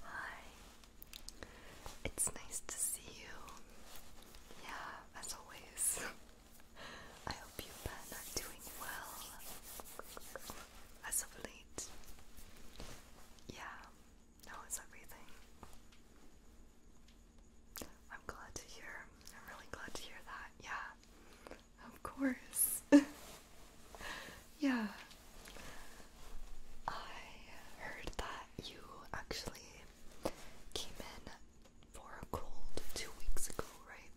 Hi, it's nice to see you. Yeah, as always. I hope you Ben are doing well as of late. Yeah, no, it's everything. I'm glad to hear. I'm really glad to hear that. Yeah. Of course. yeah. I heard that you actually came in for a cold two weeks ago, right?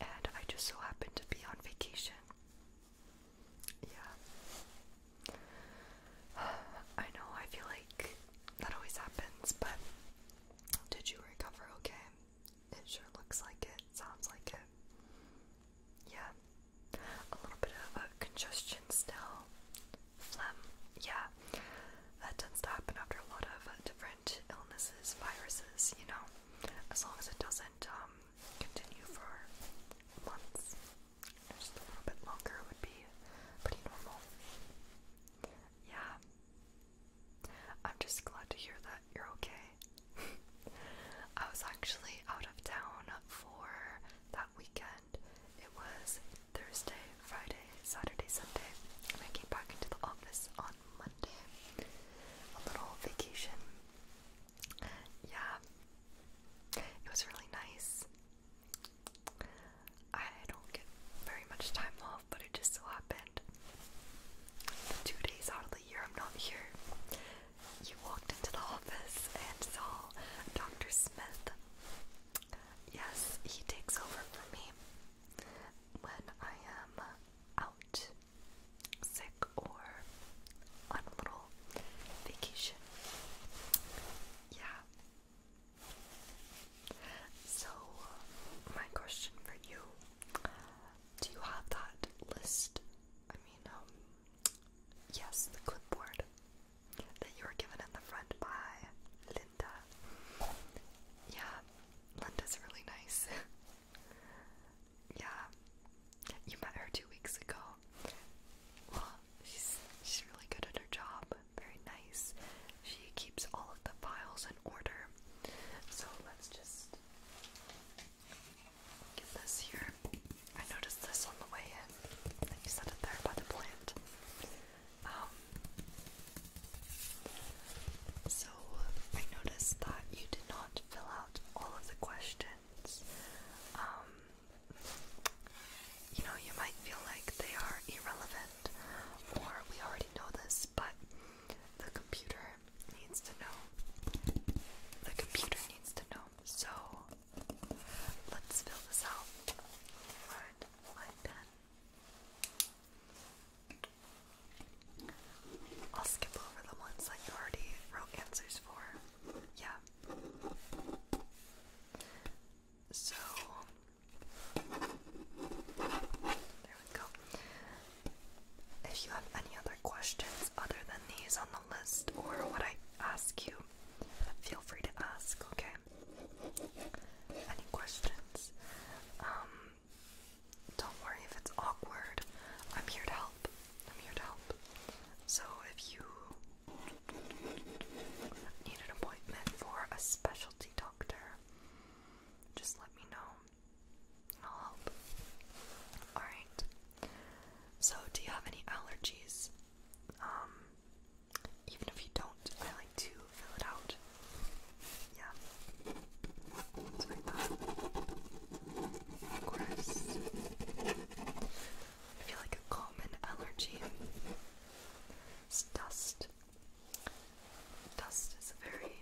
And I just so happened to be on vacation. Yeah. I know, I feel like that always happens, but did you recover okay? It sure looks like it, sounds like it. Yeah. A little bit of a congestion still. Phlegm. Yeah. That tends to happen after a lot of different illnesses, viruses, you know. As long as it doesn't um, continue for months. Just a little bit longer would be pretty normal. Yeah. I'm just glad to hear that you're okay. I was actually out of town for that weekend. It was Thursday, Friday, Saturday, Sunday, and I came back into the office on Monday. A little vacation. Yeah. It was really nice. I don't get very much time off, but it just so happened the two days out of the year I'm not here, you walked into the office and saw Dr. Smith. Yes, he takes over for me when I am out, sick, or on a little vacation. Yeah. So, my question for you do you have that list? I mean, um, yes, the clipboard that you were given in the front by Linda. Yeah, Linda's really nice. yeah, you met her two weeks ago. Well, she's she's really good at her job. Very nice. She keeps all of the files an order. So let's just get this here. I noticed this on the way in, you set it there by the plant. Um, so I noticed that you did not fill out all of the questions. Um, you know, you might feel like they are irrelevant, or we already know this, but the computer needs to know. The computer needs to know. So let's fill this out. Alright, line 10. I'll skip over the ones that you already wrote answers for. Yeah. So, there we go. If you have any other questions other than these on the list or what I ask you, feel free to ask, okay? Any questions? Um, don't worry if it's awkward. I'm here to help. I'm here to help. So if you need an appointment for a specialty doctor, just let me know. I'll help. Alright. So, do you have any allergies? Um, even if you don't, I like to fill it out. Yeah. It's like that. Of course. I feel like a common allergy is dust. Dust is a very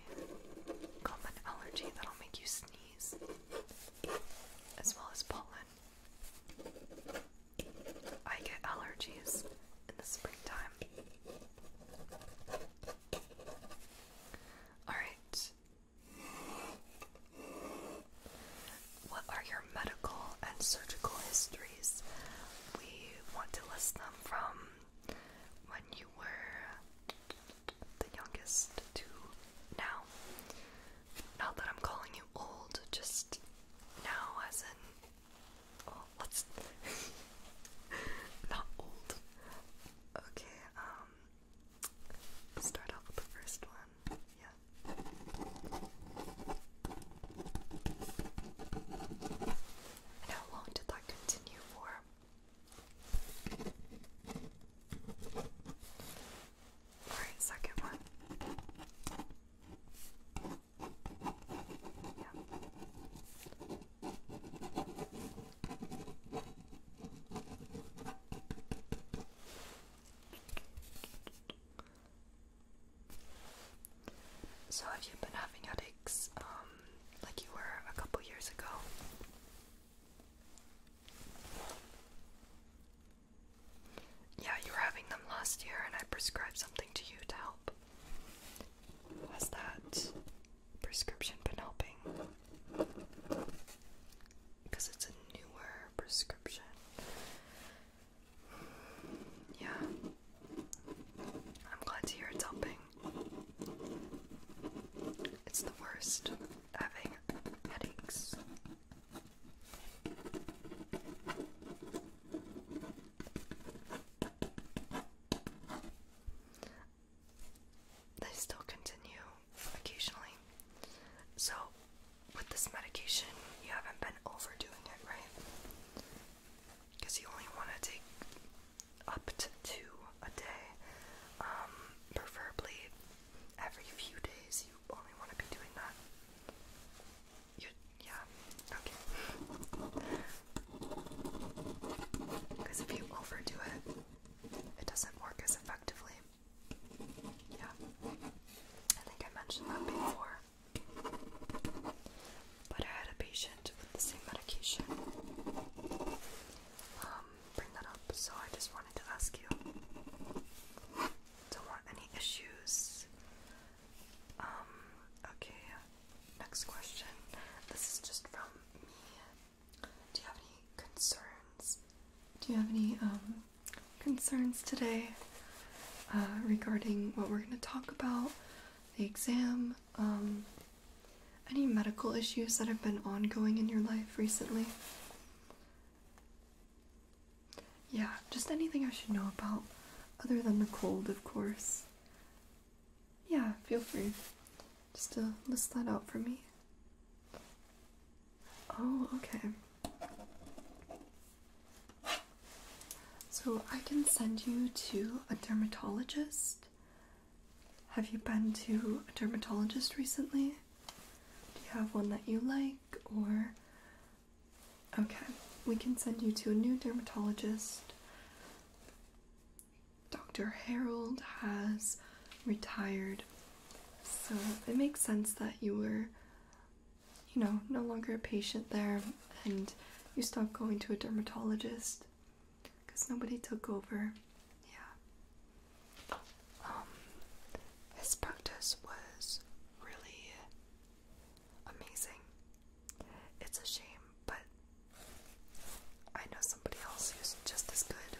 common allergy that'll make you sneeze, as well as pollen. I get allergies in the springtime. Alright. What are your medical and surgical histories? We want to list them from when you were the youngest to now. Not that I'm calling you old, just now as in let's oh, not old. Okay, um start off with the first one. Yeah. how long did that continue for? All right, second one. Yeah. So, have you been having headaches uh, um, like you were a couple years ago. Yeah, you were having them last year, and I prescribed something to you to help. Has that prescription been helping? Because it's a newer prescription. Yeah. I'm glad to hear it's helping. It's the worst having headaches. They still continue occasionally. So, with this medication, you haven't been overdoing it, right? Because you only want to take up to a day. Um, preferably every few days. You only want to be doing that. yeah. Okay. Because if you overdo it, it doesn't work as effectively. Yeah. I think I mentioned that before. But I patient with the same medication um, bring that up, so I just wanted to ask you. Don't want any issues. Um, okay, next question. This is just from me. Do you have any concerns? Do you have any um, concerns today uh, regarding what we're going to talk about? The exam, um, any medical issues that have been ongoing in your life recently? Yeah, just anything I should know about, other than the cold, of course. Yeah, feel free just to list that out for me. Oh, okay. So I can send you to a dermatologist have you been to a dermatologist recently? Do you have one that you like or Okay, we can send you to a new dermatologist. Dr. Harold has retired. So it makes sense that you were you know, no longer a patient there and you stopped going to a dermatologist because nobody took over. Yeah. Um, his practice was really amazing. It's a shame, but I know somebody else who's just as good.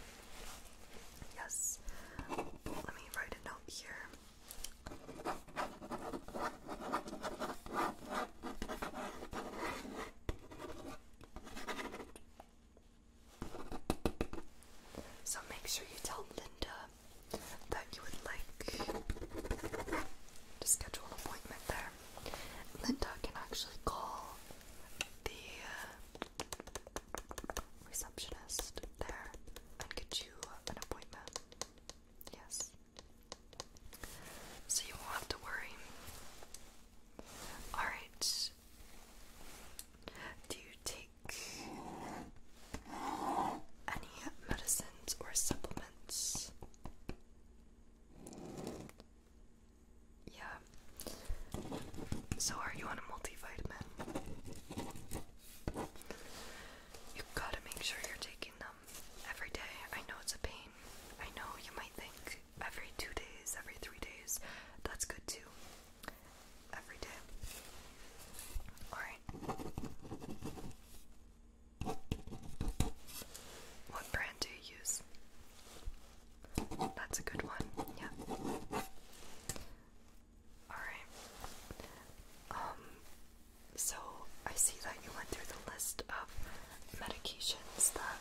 Yes. Let me write a note here. So make sure you tell Linda that you would like to schedule an appointment there. Linda can actually call the uh, receptionist there and get you an appointment. Yes. So you won't have to worry Alright. Do you take any medicines or supplements? Yeah. So, are you on a multivitamin? You gotta make sure you're taking them every day. I know it's a pain. I know you might think every two days, every three days. That's good too. Every day. Alright. What brand do you use? That's a good one, yeah. Alright. Um, so I see that you went through the list of medications that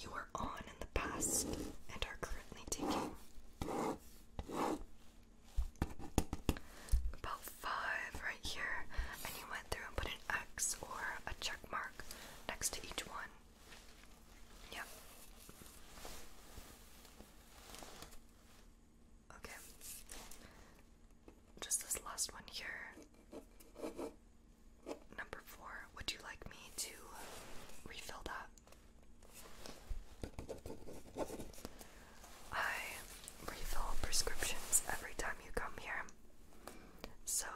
you were on in the past and are currently taking. About five right here, and you went through and put an X or a check mark next to each one. Yep. Okay. Just this last one here. Number four, would you like me to refill that? I refill prescriptions every time you come here. So,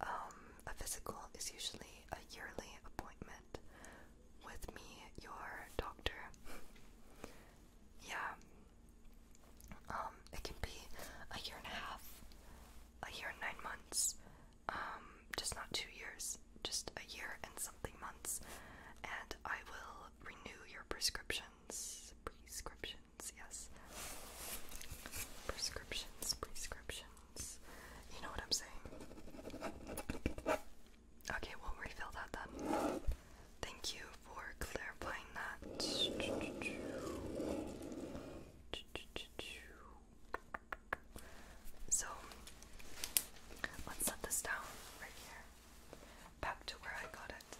um, a physical is usually a yearly appointment with me, your doctor. yeah, um, it can be a year and a half, a year and nine months, um, just not two years, just a year and something months. And I will renew your prescriptions. Prescriptions, yes. Prescriptions, prescriptions. You know what I'm saying. Okay, we'll refill that then. Thank you for clarifying that. So let's set this down right here. Back to where I got it.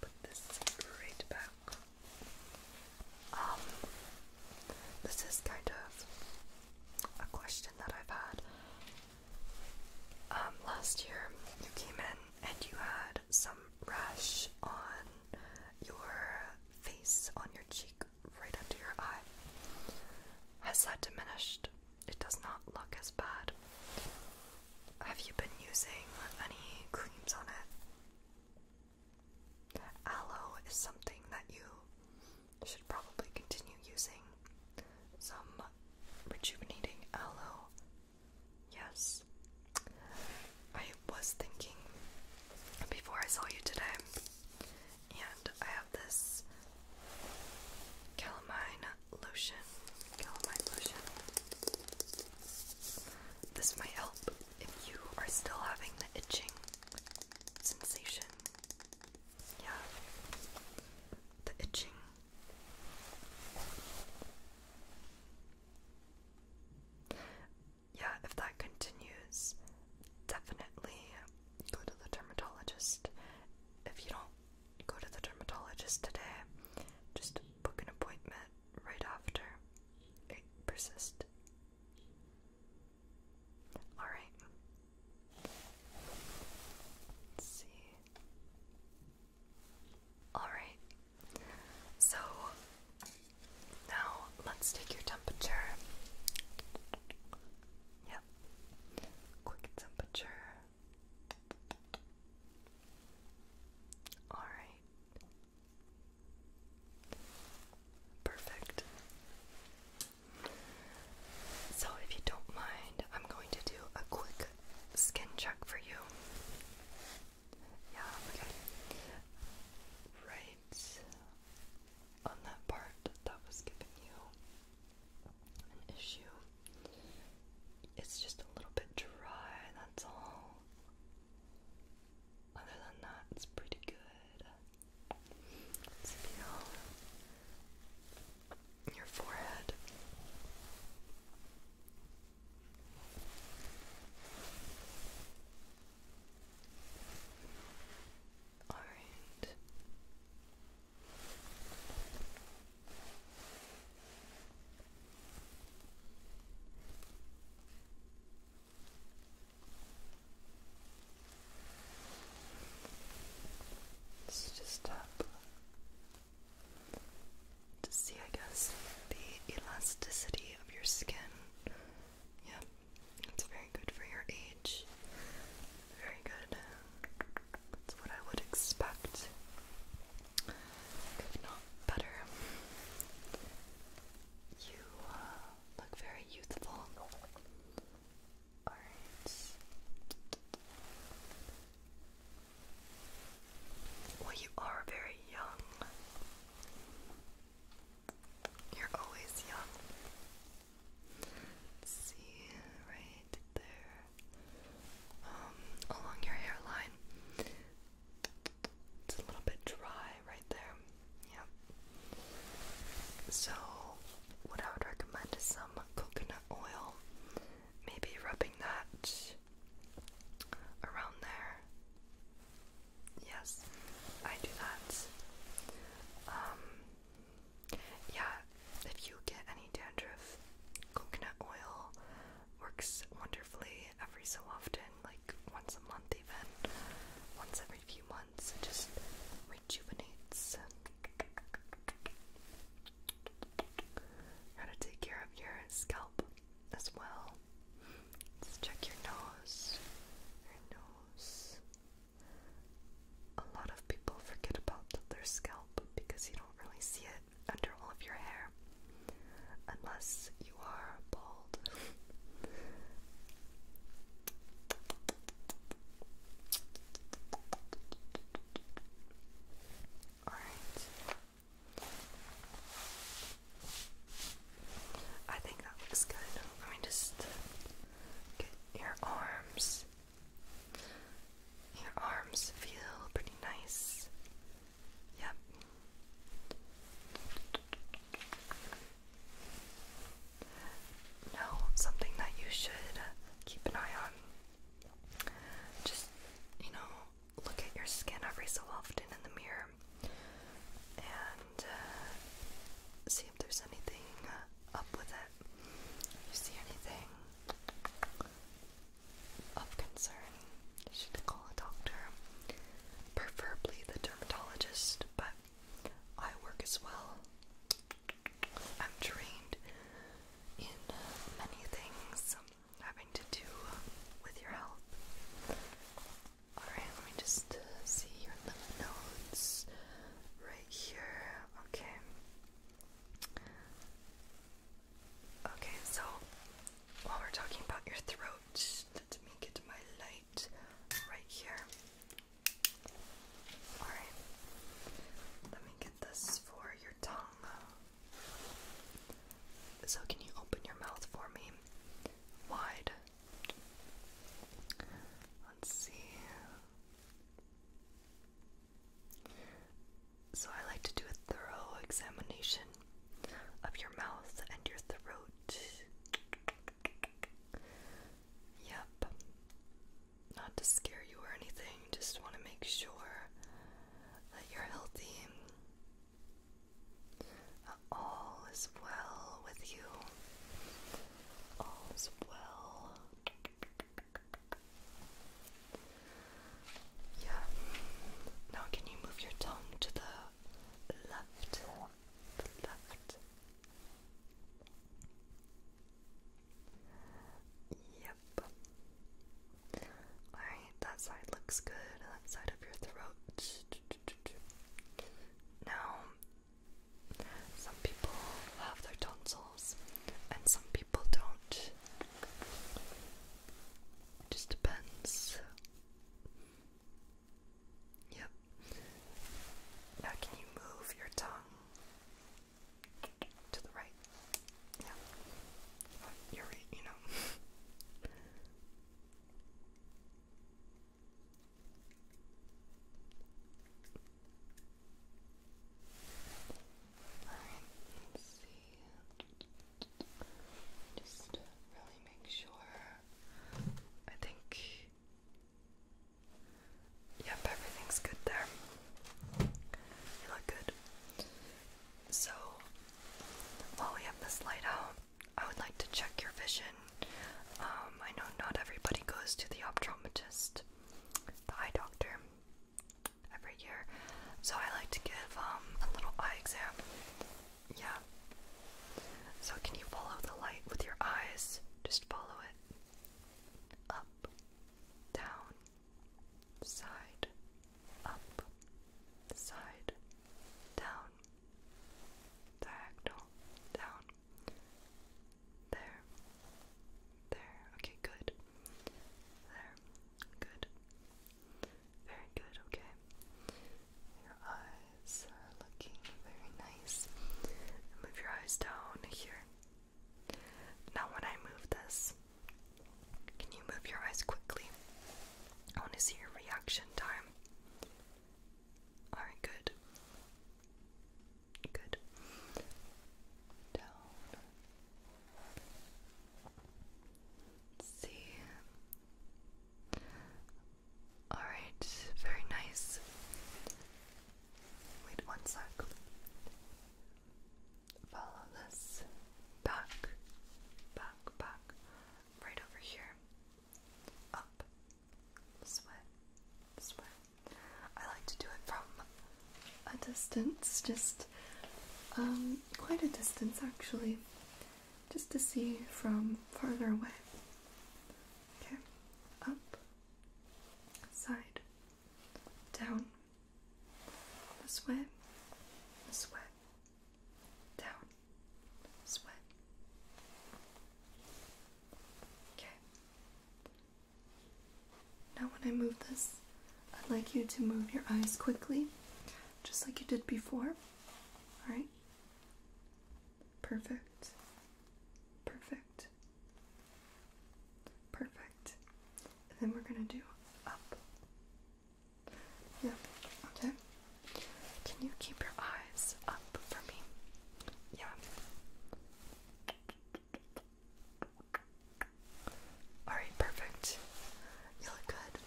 Put this right back. Um this is kind of a question that I've had. Um last year you came in and you had some rash on your face, on your cheek, right under your eye. Has that diminished? It does not look as bad. Have you been using any creams on it? Aloe is something that you should probably continue using. Some rejuvenating aloe Yes. I was thinking before I saw you today, and I have this calamine lotion. Calamine lotion. This might help if you are still having the itching sensation. Yeah. The itching. Yeah, if that continues, definitely go to the dermatologist. If you don't go to the dermatologist today, just book an appointment right after. persist. Alright. Let's see. Alright, so now let's take your temperature. Yep, quick temperature. Alright, perfect. So, if you don't mind, I'm going to do a quick skin check for you. Yeah, Right on that part that was giving you an issue. It's just a little bit dry, that's all. Other than that, it's pretty good. Let's your forehead. Orange. Let's just tap to see, I guess, the elasticity of your skin. Yep, it's very good for your age. Very good. That's what I would expect, if not better. You uh, look very youthful. Alright. Well, you are very young. You're always young. see, right there, um, along your hairline. It's a little bit dry right there. Yep. So, what I would recommend is some coconut oil. Maybe rubbing that around there. Yes, I do that. Um, yeah, if you get any dandruff, coconut oil works wonderfully every so often, like once a month, even once every few months. It just rejuvenates. How to take care of your scalp as well. let check your nose. Your nose. A lot of people forget about their scalp because you don't really see it under all of your hair unless you are bald. Alright, I think that looks good. Let me just get your arms. Your arms feel pretty nice. Yep. Now, something that you should keep an eye on. Just, you know, look at your skin every so often in the mirror and uh, see if there's anything uh, up with it. If you see anything of concern, you should call a doctor, preferably the dermatologist, but I work as well. I'm trained in uh, many things having to do with your health. Alright, let me just uh, see your lymph nodes right here. Okay. Okay, so while we're talking about your throat, let me get my light right here. Alright, let me get this for your tongue. So, can you open your mouth for me? Wide. Let's see. So, I like to do a thorough examination of your mouth and your throat. Yep. Not to scare you or anything, just want to make sure that you're healthy all is well with you. All is well. Yeah. Now, can you move your tongue to the left? The left. Yep. Alright, that side looks good. That side of your throat. Now, some people have their tonsils and some people don't. just depends. Yep. Now, can you move your tongue to the right? Yeah. you're right, you know. Alright, let's see. Just really make sure. I think. Yep, everything's good there. You look good. So, while we have this light out, I would like to check your vision. Um, I know not everybody goes to the optometrist, the eye doctor, every year. So I like to give um, a little eye exam. Yeah. So can you follow the light with your eyes? Just follow it. Up, down, side, up, side, down, diagonal, down, there, there, okay, good, there, good, very good, okay. Your eyes are looking very nice. Move your eyes down here. Now, when I move this, can you move your eyes quickly? I want to see your reaction time. Alright, good. Good. Down. see. Alright, very nice. Wait one sec follow this back, back, back, right over here, up, this way, this way. I like to do it from a distance, just um, quite a distance actually, just to see from farther away. Okay, up, side, down, this way, this way down, sweat. Okay. Now, when I move this, I'd like you to move your eyes quickly, just like you did before. Alright? Perfect. Perfect. Perfect. And then we're going to do up, yeah, okay. Can you keep your eyes up for me? Yeah. Alright, perfect. You look good.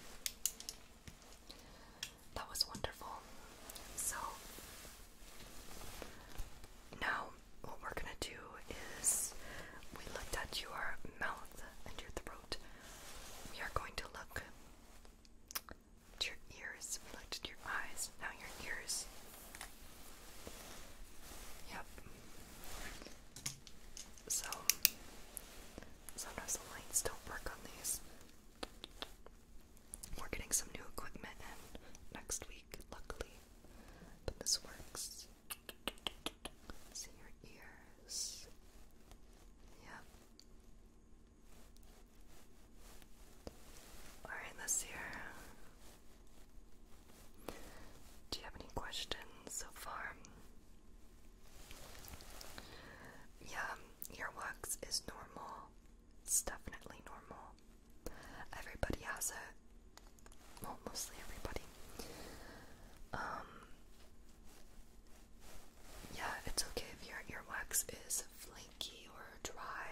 That was wonderful. So, now what we're gonna do is we look at your mouth and your throat we are going to look at your ears. We looked at your eyes, now your ears. Yep. So, sometimes the lights don't work on these. We're getting some new equipment in next week, luckily. this works. See your ears. Yep. Alright, let's hear. Do you have any questions so far? Yeah, earwax is normal. It's definitely normal. Everybody has it. Well, mostly everybody. Um, yeah, it's okay if your earwax is flaky or dry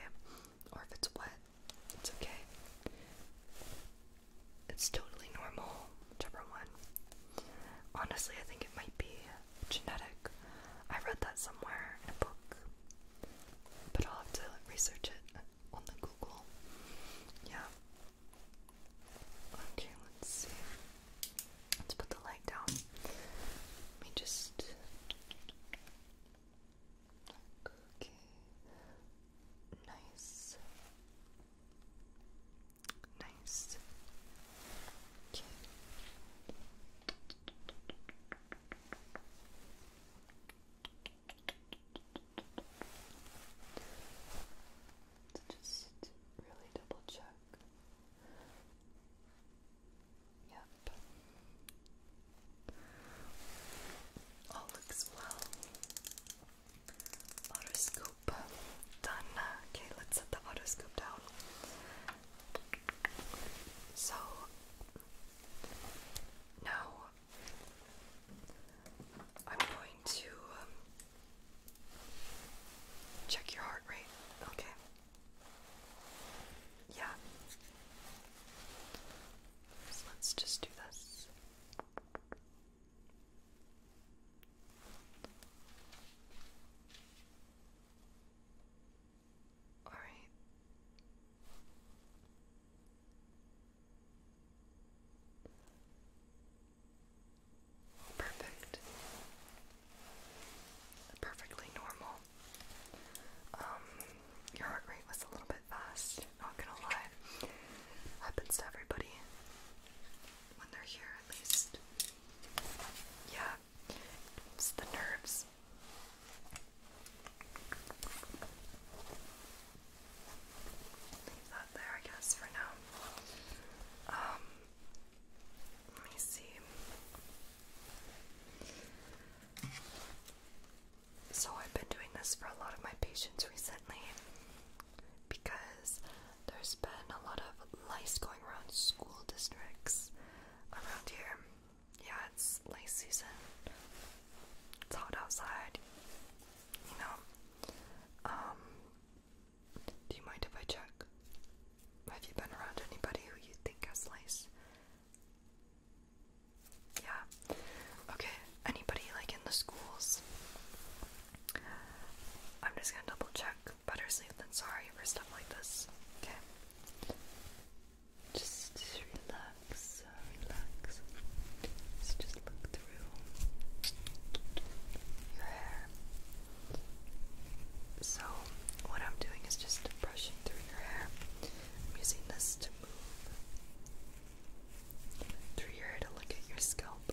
or if it's wet. It's okay. It's totally normal, whichever one. Honestly, I think it might be genetic. I read that somewhere in a book, but I'll have to research it on the Google. Yeah. Okay, let's see. Let's put the light down. Let me just. Okay. Nice. Nice. Okay just really double check. Yep. All looks well. Autoscope done. Okay, let's set the autoscope down. So now I'm going to um, check your heart rate. Okay. Yeah. let's just do this. All right. Perfect. Perfectly normal. Um, your heart rate was a little bit fast, not gonna lie. Happens to everybody when they're here, at least. Yeah, it's the nerves. that there, I guess, for now. Um, let me see. So, I've been doing this for a lot of my patients recently because there's been a lot of lice going around school districts around here. Yeah, it's lice season, it's hot outside, you know. Um, do you mind if I check? Have you been around anybody who you think has lice? Yeah. Okay, anybody like in the schools? I'm just gonna double check. Better safe than sorry for stuff like this. Okay. Just, just relax, uh, relax. Just, just look through through your hair. So, what I'm doing is just brushing through your hair. I'm using this to move through your hair to look at your scalp.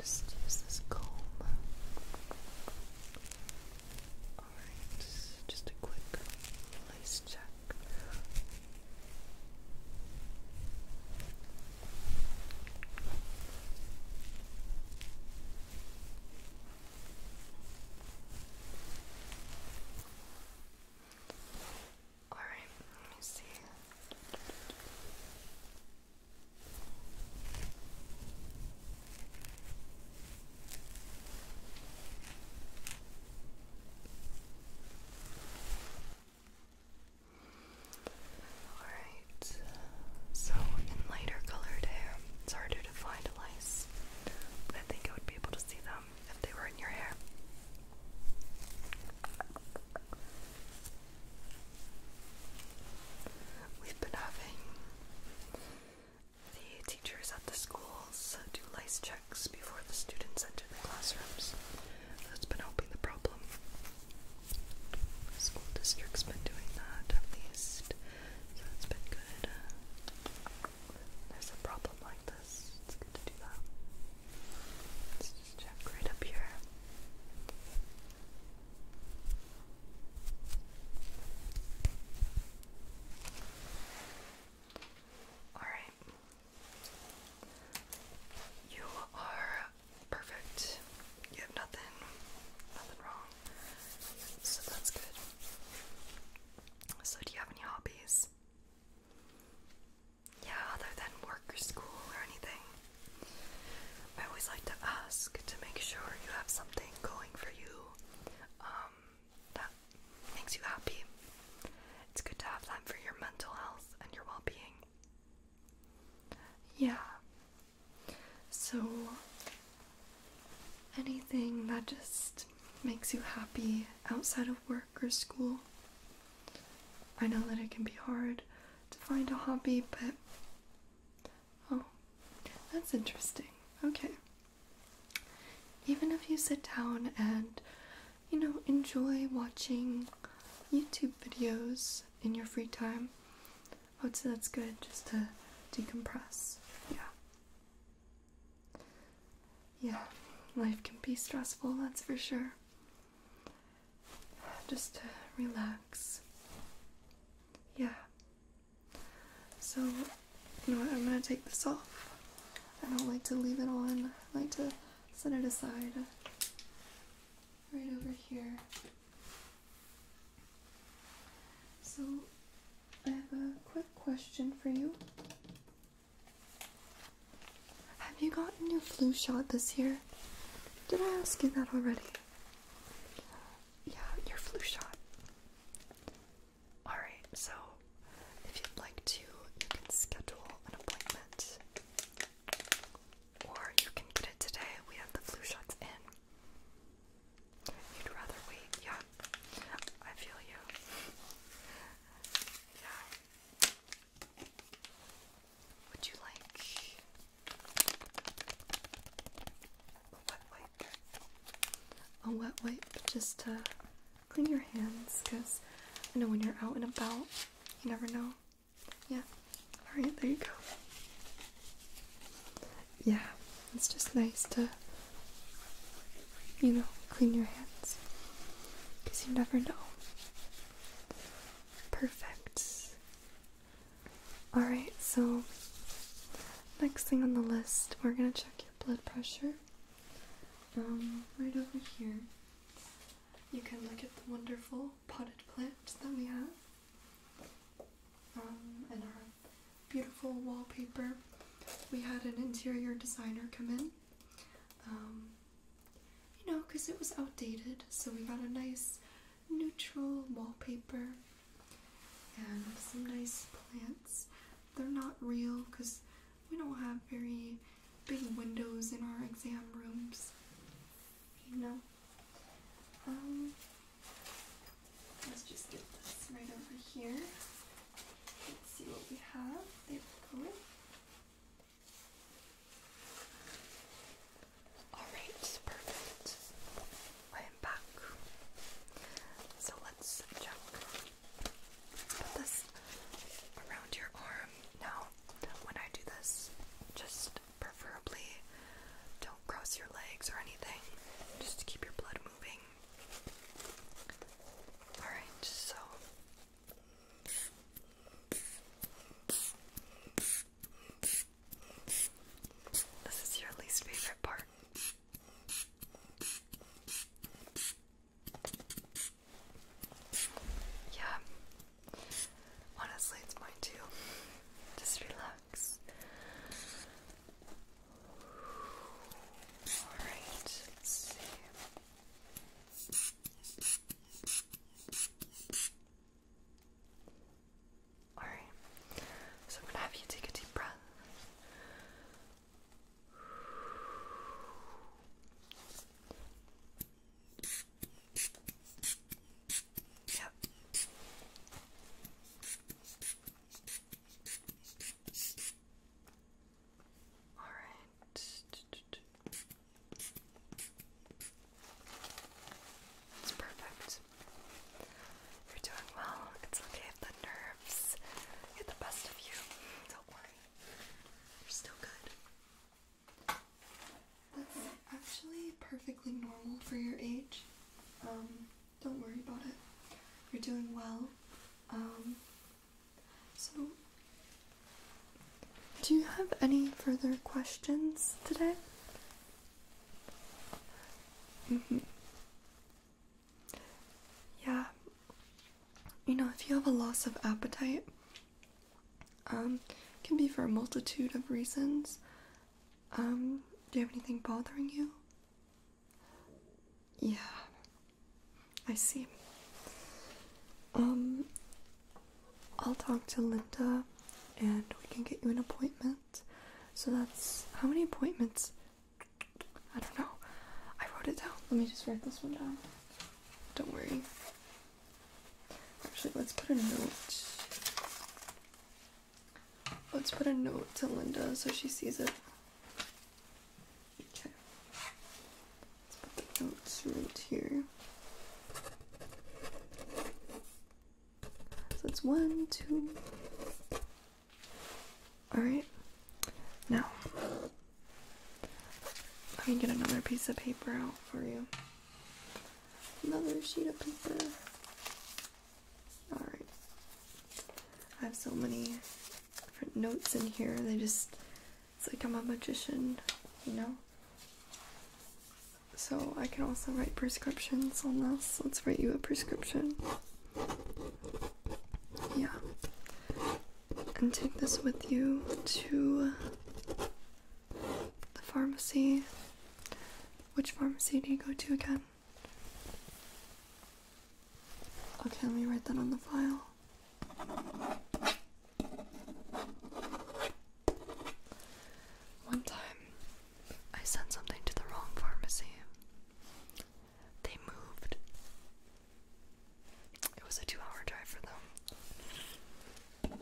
Just use this comb. Alright, just a quick lace check all right, let me see. Alright, so in lighter colored hair, it's harder to find lice, but I think I would be able to see them if they were in your hair. We've been having the teachers at the schools do lice checks before the students enter the classrooms that's been helping the problem. School district's been doing that at least, so it's been good. There's a problem like this. It's good to do that. Let's just check right up here. All right. You are perfect. You have nothing, nothing wrong. So that's good. So do you have any hobbies? Yeah, other than work or school or anything. I always like to ask to make sure you have something going for you um, that makes you happy. It's good to have that for your mental health and your well being. Yeah. So, anything that just makes you happy outside of work or school. I know that it can be hard to find a hobby, but. Oh, that's interesting. Okay. Even if you sit down and you know, enjoy watching YouTube videos in your free time. I would say that's good just to decompress. Yeah. Yeah, life can be stressful, that's for sure. Just to relax. Yeah. So, you know what? I'm gonna take this off. I don't like to leave it on, I like to set it aside right over here. So, I have a quick question for you. Have you gotten your flu shot this year? Did I ask you that already? Yeah, your flu shot. Alright, so if you'd like to, you can schedule an appointment or you can get it today. We have the flu shots in. You'd rather wait, yeah. I feel you. Yeah. Would you like a wet wipe? A wet wipe just to clean your hands because I know when you're out and about, you never know. Yeah. Alright, there you go. Yeah, it's just nice to, you know, clean your hands. Because you never know. Perfect. Alright, so next thing on the list, we're gonna check your blood pressure. Um, right over here. You can look at the wonderful potted plants that we have, um, and our beautiful wallpaper. We had an interior designer come in, um, you know, because it was outdated, so we got a nice neutral wallpaper and some nice plants. They're not real because we don't have very big windows in our exam rooms, you know. Um, let's just get this right over here. Let's see what we have. There we go. Alright, perfect. I am back. So Let's put this around your arm. Now, when I do this, just preferably don't cross your legs or anything, just keep your blood moving. Alright, so. This is your least favorite part. Yeah. Honestly, it's mine too. Just relax. Alright, let's see. Alright, so I'm gonna have you take a deep breath. All right. It's perfect. You're doing well. It's okay if the nerves get the best of you. Don't worry. You're still good. That's actually perfectly normal for your age. Um, don't worry about it. You're doing well. Um, so, do you have any further questions today? Mm-hmm. Yeah. You know, if you have a loss of appetite, um, can be for a multitude of reasons. Um, do you have anything bothering you? Yeah, I see. Um, I'll talk to Linda and we can get you an appointment. So that's how many appointments? I don't know. I wrote it down. Let me just write this one down. Don't worry. Actually, let's put a note. Let's put a note to Linda so she sees it. Okay. Let's put the notes right here. So it's one, two. Alright. Now, let me get another piece of paper out for you. Another sheet of paper. Alright. I have so many notes in here. They just, it's like I'm a magician, you know? So I can also write prescriptions on this. Let's write you a prescription. Yeah. And take this with you to the pharmacy. Which pharmacy do you go to again? Okay, we write that on the file. One time, I sent something to the wrong pharmacy. They moved. It was a two hour drive for them.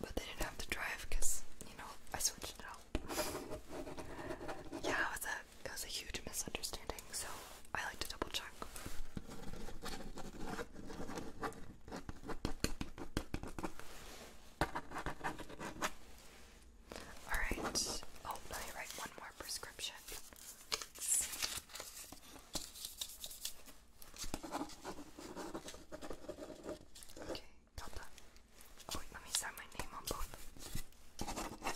But they didn't have to drive because, you know, I switched it out. yeah, it was a it was a huge misunderstanding, so I like to double check. Alright. Oh, let me write one more prescription. Okay, got oh, let me sign my name on both. Perfect.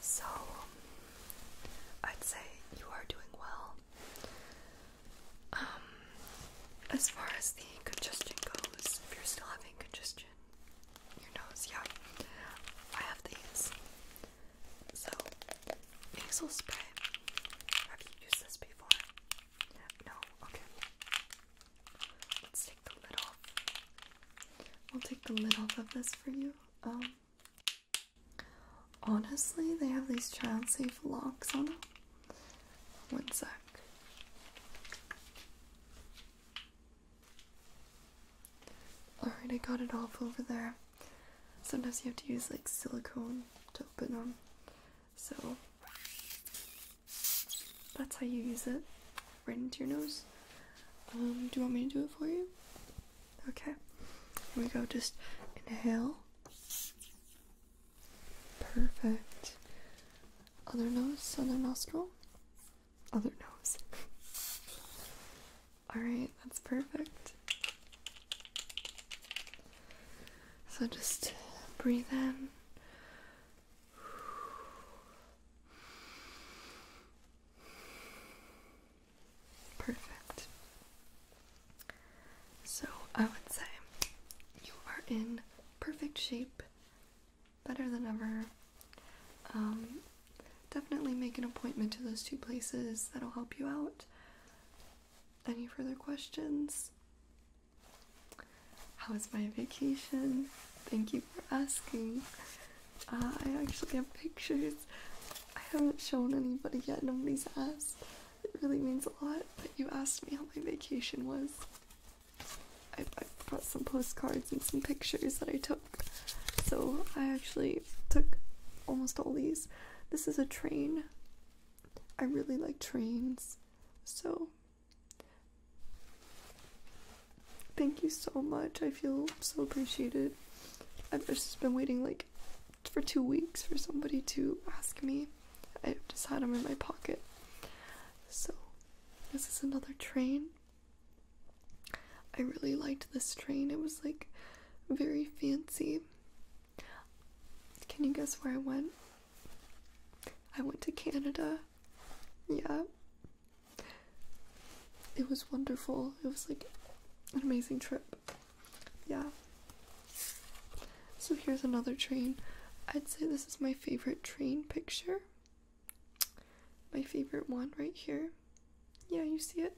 So, um, I'd say you are doing well. Um, as far as the congestion goes, if you're still having congestion, your nose, yeah. I have these. So, nasal spray. Have you used this before? No? Okay. Let's take the lid off. We'll take the lid off of this for you. Um, honestly, they have these child safe locks on them. One sec. Alright, I got it off over there. Sometimes you have to use like silicone to open them. So that's how you use it. Right into your nose. Um, do you want me to do it for you? Okay. Here we go. Just inhale. Perfect. Other nose, other nostril other nose. Alright, that's perfect. So just breathe in. Perfect. So I would say you are in perfect shape better than ever. Um, definitely make an appointment to those two places, that'll help you out. Any further questions? How was my vacation? Thank you for asking. Uh, I actually have pictures. I haven't shown anybody yet, nobody's asked. It really means a lot that you asked me how my vacation was. I, brought some postcards and some pictures that I took. So I actually took almost all these. This is a train. I really like trains. So thank you so much. I feel so appreciated. I've just been waiting like for two weeks for somebody to ask me. I just had them in my pocket. So this is another train. I really liked this train. It was like very fancy. Can you guess where I went? I went to Canada. Yeah. It was wonderful. It was like an amazing trip. Yeah. So here's another train. I'd say this is my favorite train picture my favorite one right here. Yeah, you see it?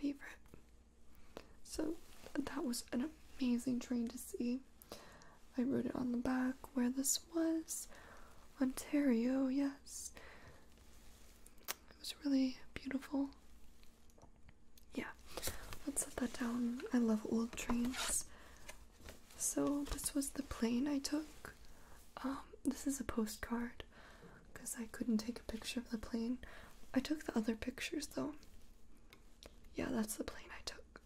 Favorite. So that was an amazing train to see. I wrote it on the back where this was. Ontario, yes. It was really beautiful. Yeah, let's set that down. I love old trains. So this was the plane I took. Um, this is a postcard because I couldn't take a picture of the plane. I took the other pictures though. Yeah, that's the plane I took.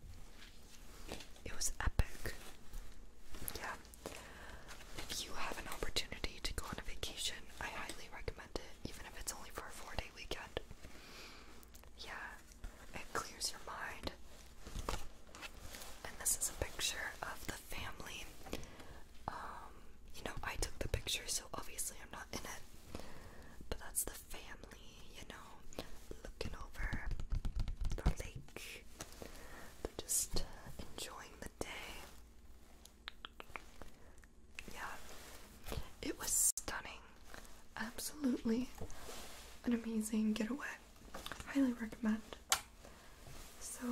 It was epic. Yeah. If you have an opportunity to go on a vacation, I highly recommend it, even if it's only for a four day weekend. Yeah, it clears your mind, and this is a picture of the family. Um, you know, I took the picture, so obviously I'm not in it. But that's the family, you know, looking over the lake. just uh, enjoying the day. Yeah, it was stunning. Absolutely an amazing getaway highly recommend. So,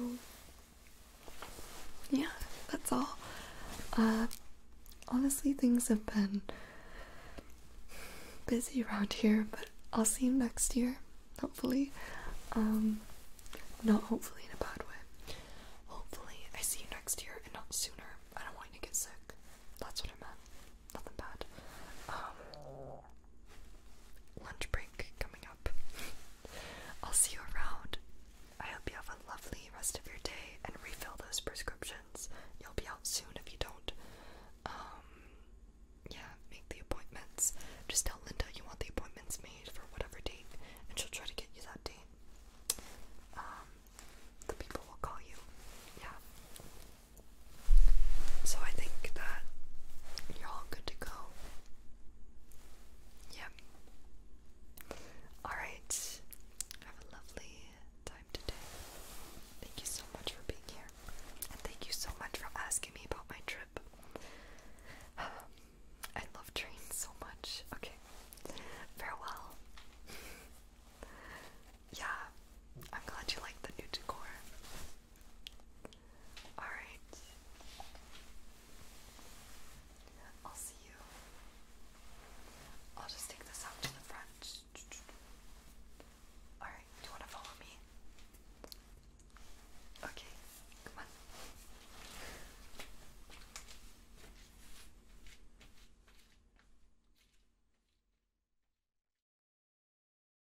yeah, that's all. Uh, honestly, things have been busy around here, but I'll see you next year, hopefully. Um, not hopefully in a bad way. Hopefully, I see you next year and not sooner. I don't want you to get sick. That's what I meant. Nothing bad. Um, lunch break coming up. I'll see you around. I hope you have a lovely rest of your day and refill those prescriptions. You'll be out soon if you don't. Um, yeah, make the appointments. Just tell Linda you want the appointments made for whatever date, and she'll try to get you that date. Um, the people will call you. Yeah. So I think that you're all good to go. Yep. Alright. Have a lovely time today. Thank you so much for being here. And thank you so much for asking me about my trip. I love trains so much. Okay. Farewell. yeah. I'm glad you like the new decor. Alright. I'll see you. I'll just take this out to the front. Alright, do you want to follow me? Okay,